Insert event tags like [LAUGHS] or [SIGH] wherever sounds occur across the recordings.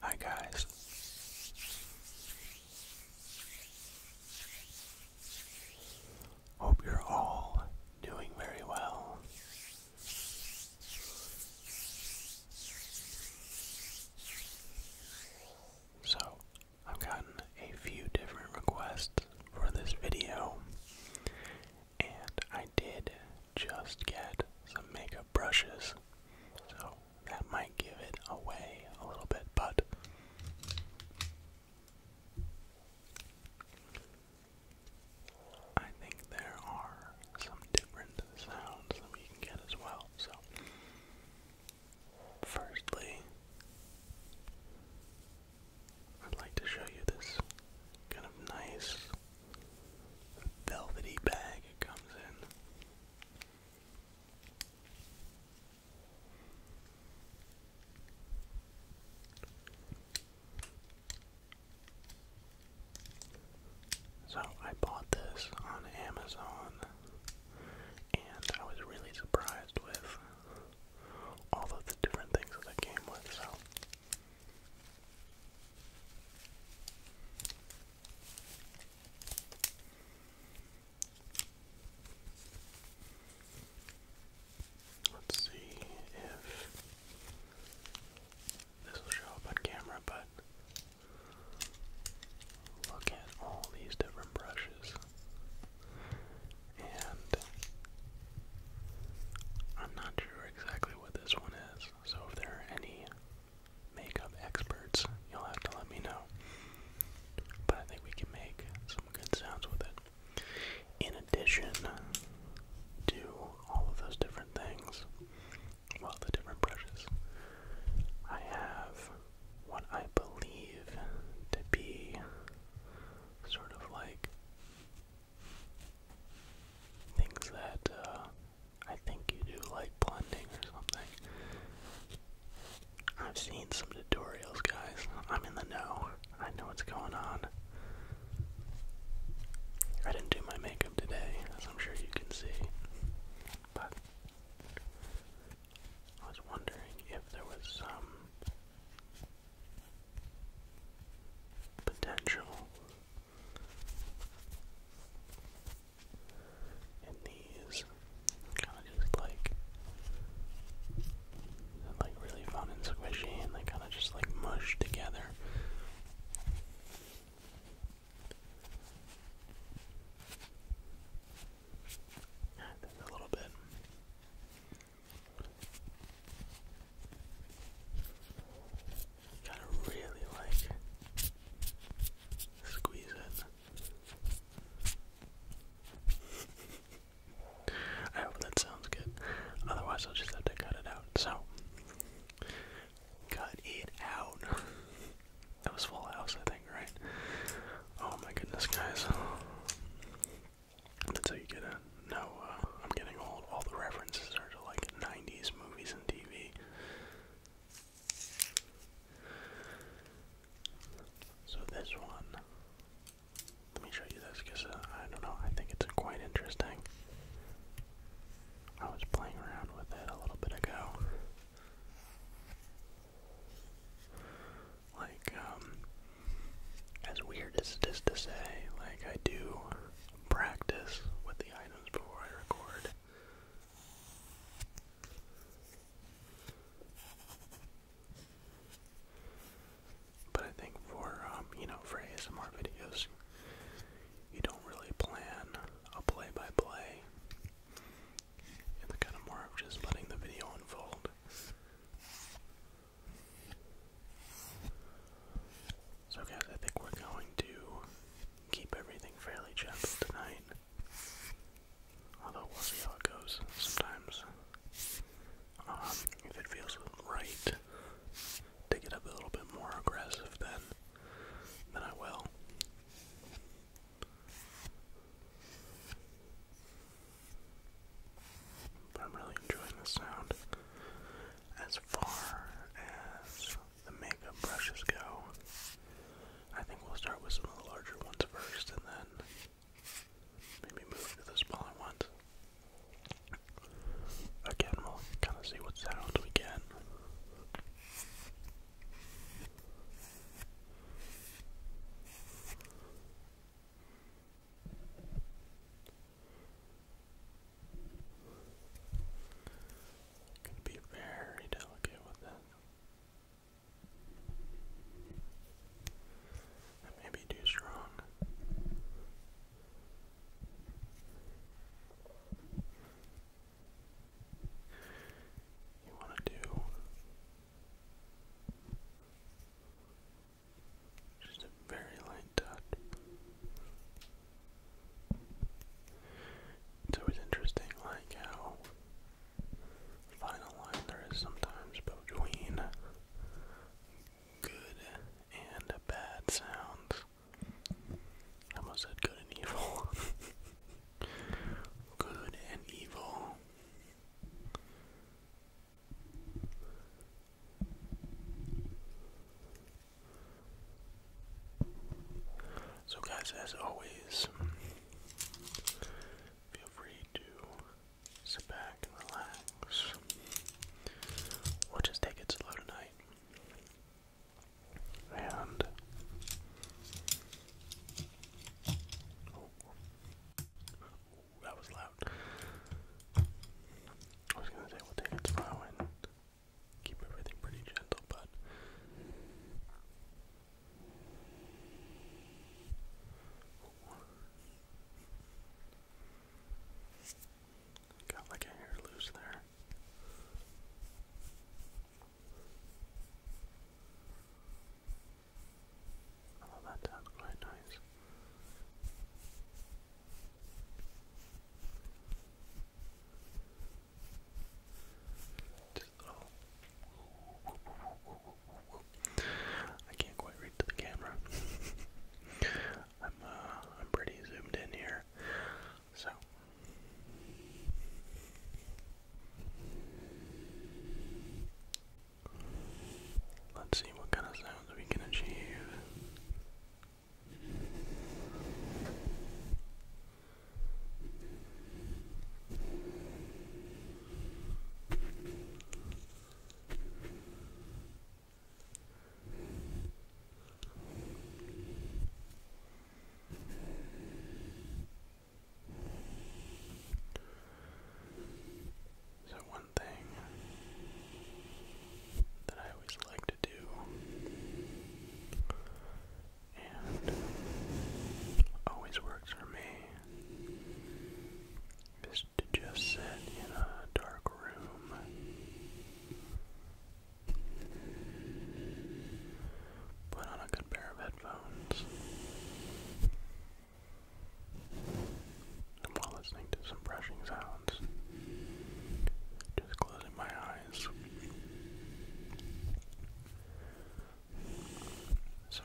Hi guys. Hope you're all doing very well. So, I've gotten a few different requests for this video, and I did just get some makeup brushes, so that might give it away a little bit, but I think there are some different sounds that we can get as well. So, firstly, I'd like to show you this kind of nice velvety bag it comes in. So I bought this on Amazon and I was really surprised with all of the different things that it came with. So Let's see if this will show up on camera, but look at all these different brushes. And I'm not sure exactly what this one is. So if there are any makeup experts, you'll have to let me know. But I think we can make some good sounds with it. In addition do all of those different things, well, the different brushes, I have what I believe to be sort of like things that uh, I think you do like blending or something. I've seen some tutorials, guys. I'm in the know. I know what's going on. I didn't do my makeup today, as I'm sure you can see. But I was wondering if there was some um, potential and these kind of just like like really fun and squishy and they kind of just like mush together a little bit Gotta really like squeeze in. I hope that sounds good. Otherwise, I'll just have to cut it out. So, cut it out. That was Full House, I think, right? Oh my goodness, guys. That's how you get in. No, uh, I'm getting old. All the references are to like 90s movies and TV. So this one, let me show you this because uh, I don't know, I think it's quite interesting. I was playing around with it a little bit ago. Like, um, as weird as it is to say, like, I do practice with the items before I record. But I think for, um, you know, for ASMR videos, you don't really plan a play by play. It's kind of more of just letting the video unfold. So, guys, I think we're going to keep everything fairly gentle tonight. Although, we'll see how it goes. Sometimes, um, if it feels right to get up a little bit more aggressive, then, then I will. But I'm really enjoying the sound as far as the makeup brushes go, I think we'll start with some of the larger ones first and then maybe move to the smaller ones. Again, we'll kind of see what sounds we get. Gonna be very delicate with That may too strong. You want to do just a very light touch. So it's interesting, like how final line there is sometimes between good and bad sounds. I almost said good and evil. [LAUGHS] good and evil. So, guys, as always, feel free to sit back and relax, or just take it slow tonight. And that was loud. I was gonna say we'll take it slow and keep everything pretty gentle, but got like a hair loose there. Although that sounds quite nice. I can't quite read to the camera. [LAUGHS] I'm uh, I'm pretty zoomed in here, so. Let's see what kind of sounds we can achieve. So, one thing that I always like to do. And always works for me is to just sit in a dark room put on a good pair of headphones and while listening to some brushing sounds just close so,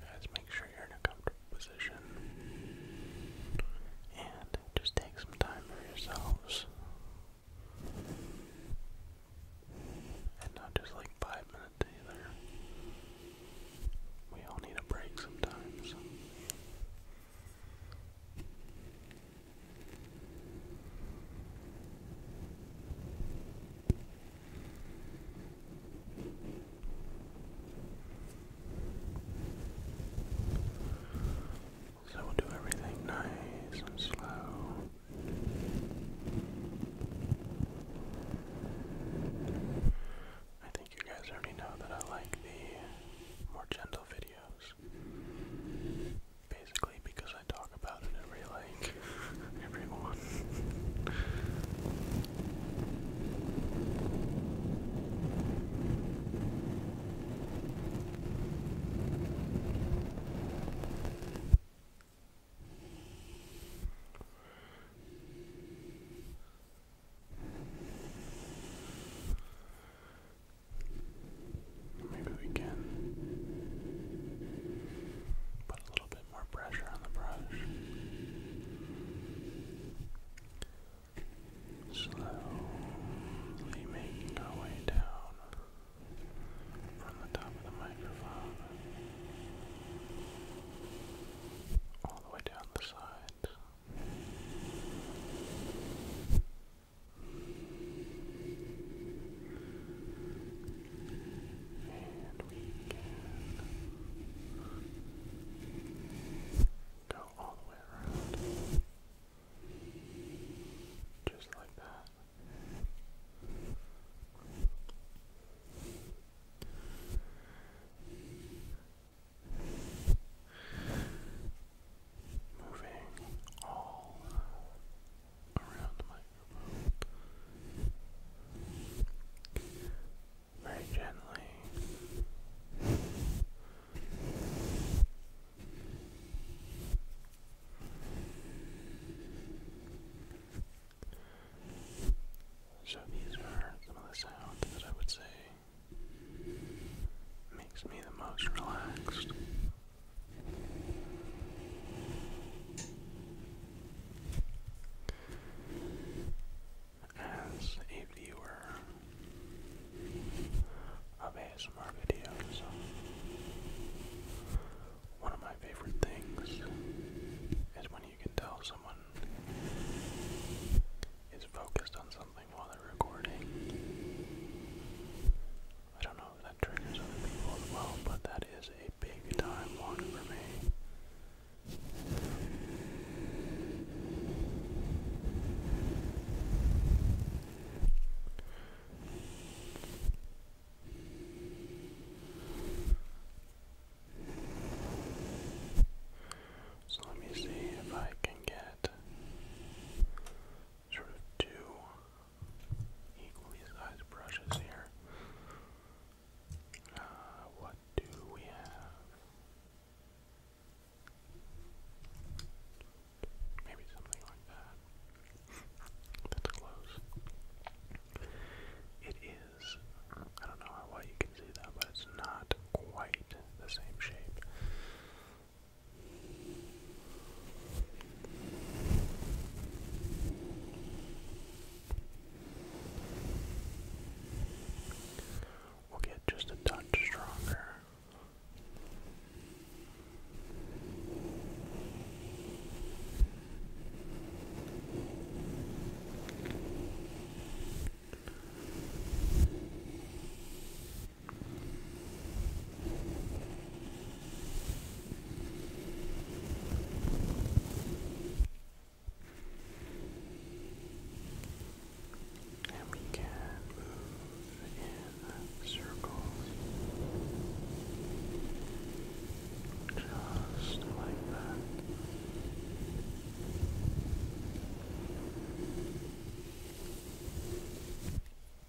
guys, make sure you're in a comfortable position and just take some time for yourselves. And not just like five minutes either. We all need a break sometimes. So we'll do everything nice and slow. I think you guys already know that I like the more gentle videos. Basically, because I talk about it every like [LAUGHS] everyone. Maybe we can put a little bit more pressure on the brush. Slowly making our way down from the top of the microphone all the way down the sides. And we go all the way around. Just like that moving all around the microphone. Very gently. So these are some of the sounds that I would say makes me the most relaxed as a viewer of ASMR videos, one of my favorite things is when you can tell someone is focused on something while they're recording. I don't know if that triggers other people as well, but that is a big time one for me. So let me see if I can get sort of two equally sized brushes here. Uh, what do we have? Maybe something like that. That's close. It is, I don't know how well you can see that, but it's not quite the same shape. We'll get just a touch stronger. And we can move in circles just like that.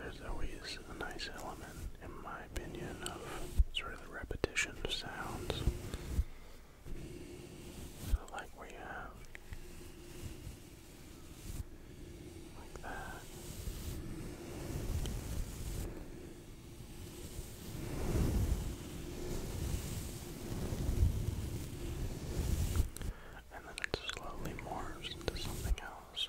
There's always a nice element, in my opinion, of sort of the repetition of sounds. like where have like that. And then it slowly morphs into something else.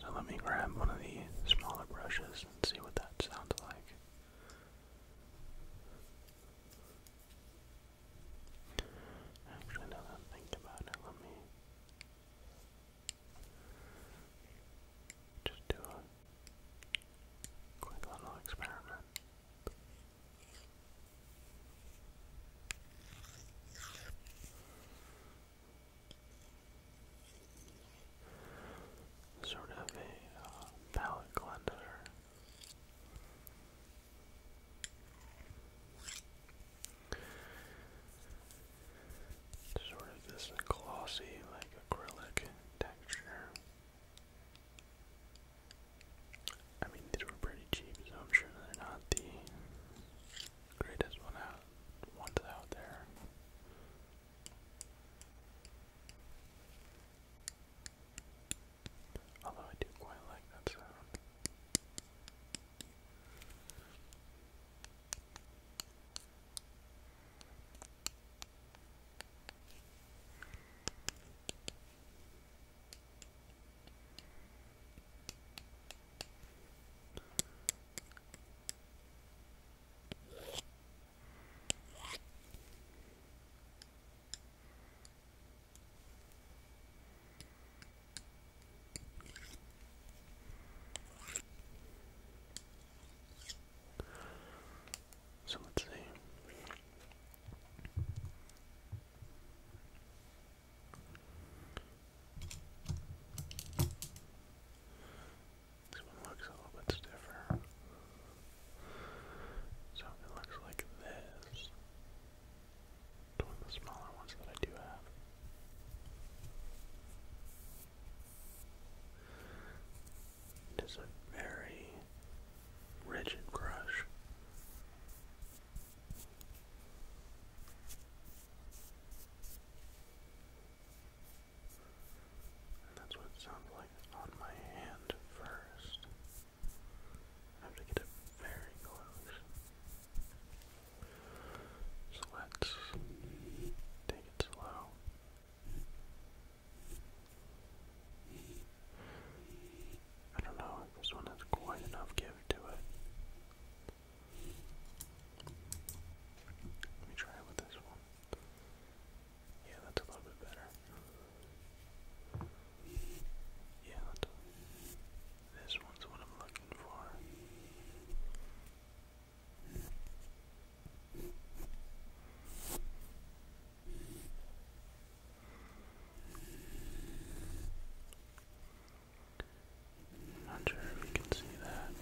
So let me grab one of the smaller brushes and see what that sounds like. Actually, now that I think about it, let me just do a quick little experiment. Sort of a uh, cleanser Sort of this glossy, like acrylic texture. I mean, these were pretty cheap, so I'm sure they're not the greatest one out ones out there. Although I do quite like that sound. So let's see. This one looks a little bit stiffer. So it looks like this. It's one of the smaller ones that I do have. It is a very rigid brush. that's what it sounds like on my hand first. I have to get it very close. So let's take it slow. I don't know if this one has quite enough give to it. Let me try with this one. Yeah, that's a little bit better. Yeah, this one's what I'm looking for. I'm not sure if you can see that.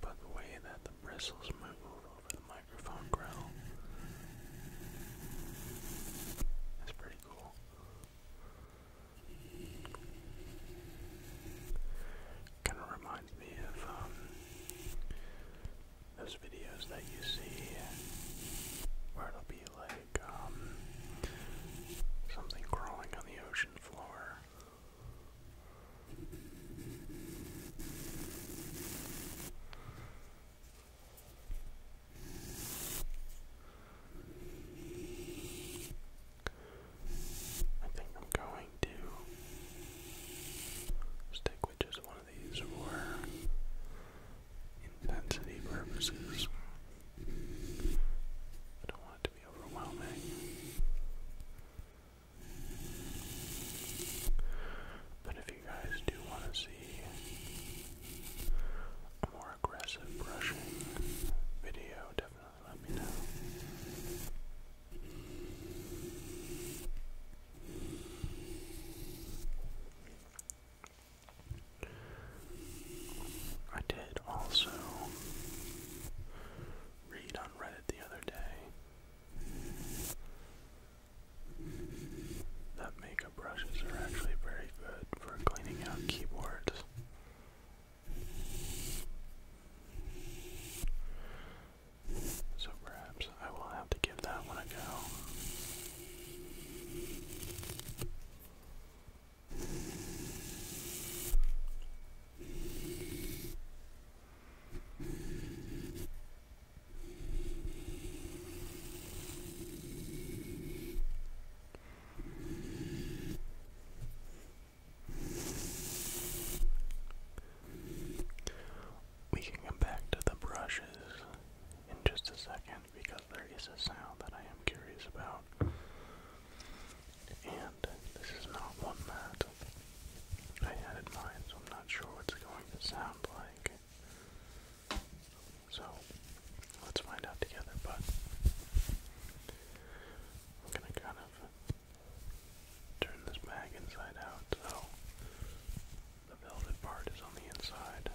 By the way that the bristles move over the microphone grill, that's pretty cool. Kind of reminds me of um, those videos that you see where it'll be like um, something crawling on the ocean floor. I think I'm going to stick with just one of these for intensity purposes. I don't want it to be overwhelming. But if you guys do want to see a more aggressive brushing video, definitely let me know. I did also read on Reddit the other day that makeup brushes are actually very good for cleaning out keyboards. So perhaps I will have to give that one a go. We can come back to the brushes in just a second because there is a sound that I am curious about and this is not one that I had in mind, so I'm not sure what's going to sound like. So let's find out together, but I'm gonna kind of turn this bag inside out so the velvet part is on the inside.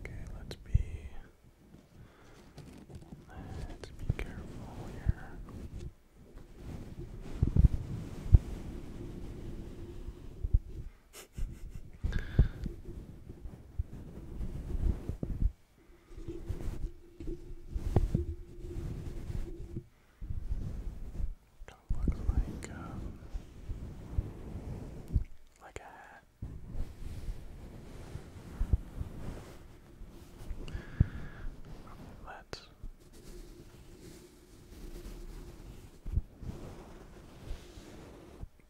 Okay, let's be let's be careful here. Okay looks like um, like a hat. Let's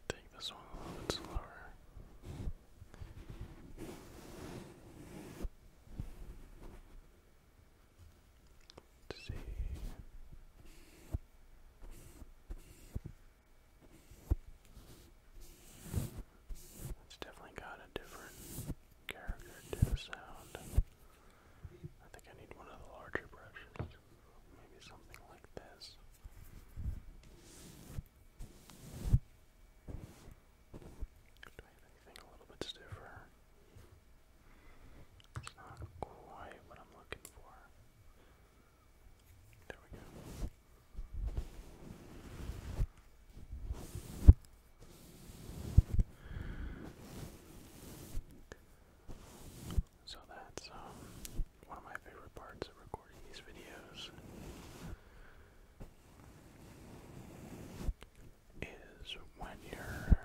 take this one a little bit slower. Let's see. It's definitely got a different character to the sound. I think I need one of the larger brushes maybe something like this. Do I have a little bit stiffer? It's not quite what I'm looking for. There we go. So that's um, one of my favorite parts of recording these videos is when you're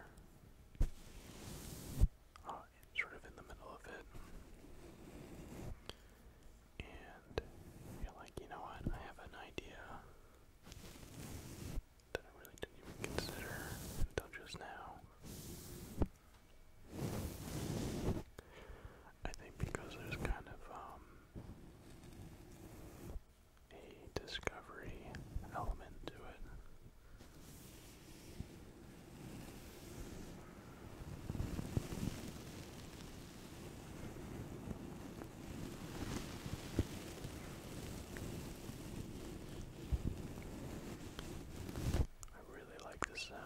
uh, sort of in the middle of it and you like, you know what, I have an idea that I really didn't even consider until just now. I think because there's kind of um, a discovery element to it. I really like the sound.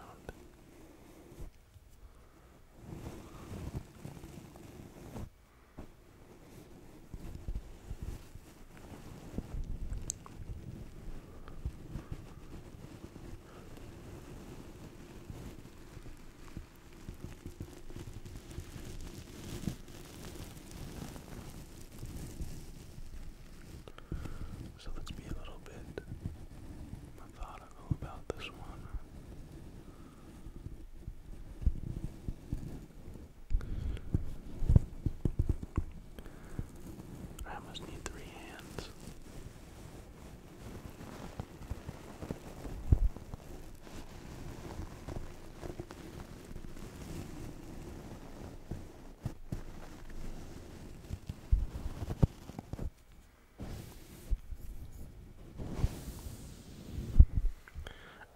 So let's be a little bit methodical about this one. I must need three hands.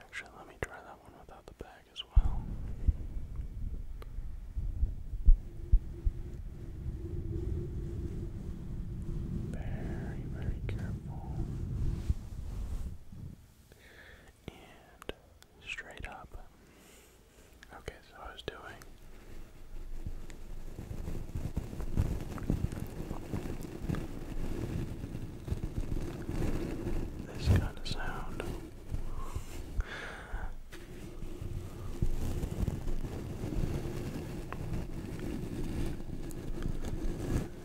Actually, let me try that one without the bag as well. Very, very careful. And straight up. Okay, so I was doing this kind of sound.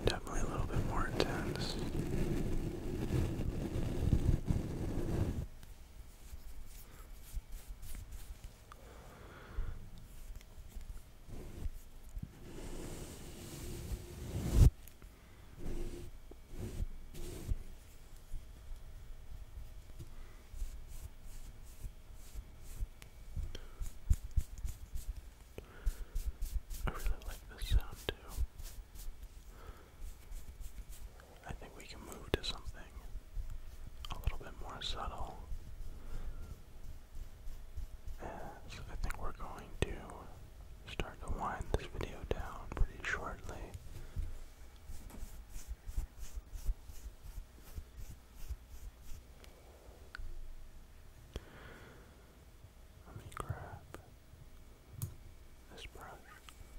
Definitely a little bit more intense. I really like this sound too. I think we can move to something a little bit more subtle. I think we're going to start to wind this video down pretty shortly. Let me grab this brush.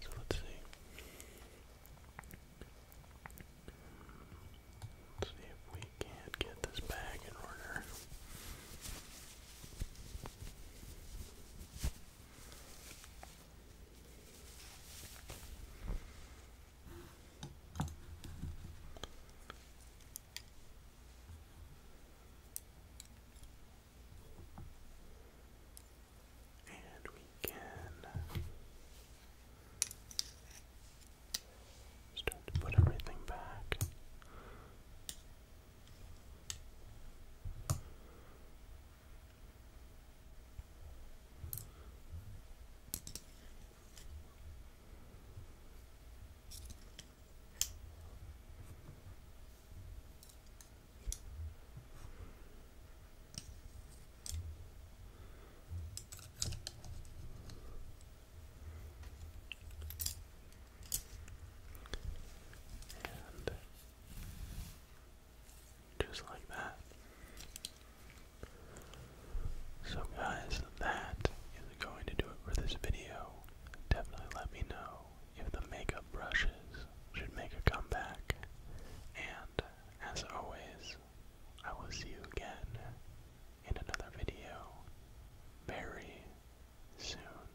So let's see. see if we can't get this bag in order. And we can start to put everything back. And just like that, so guys, that is going to do it for this video. Definitely let me know if the makeup brushes should make a comeback. And as always, I will see you again in another video very soon.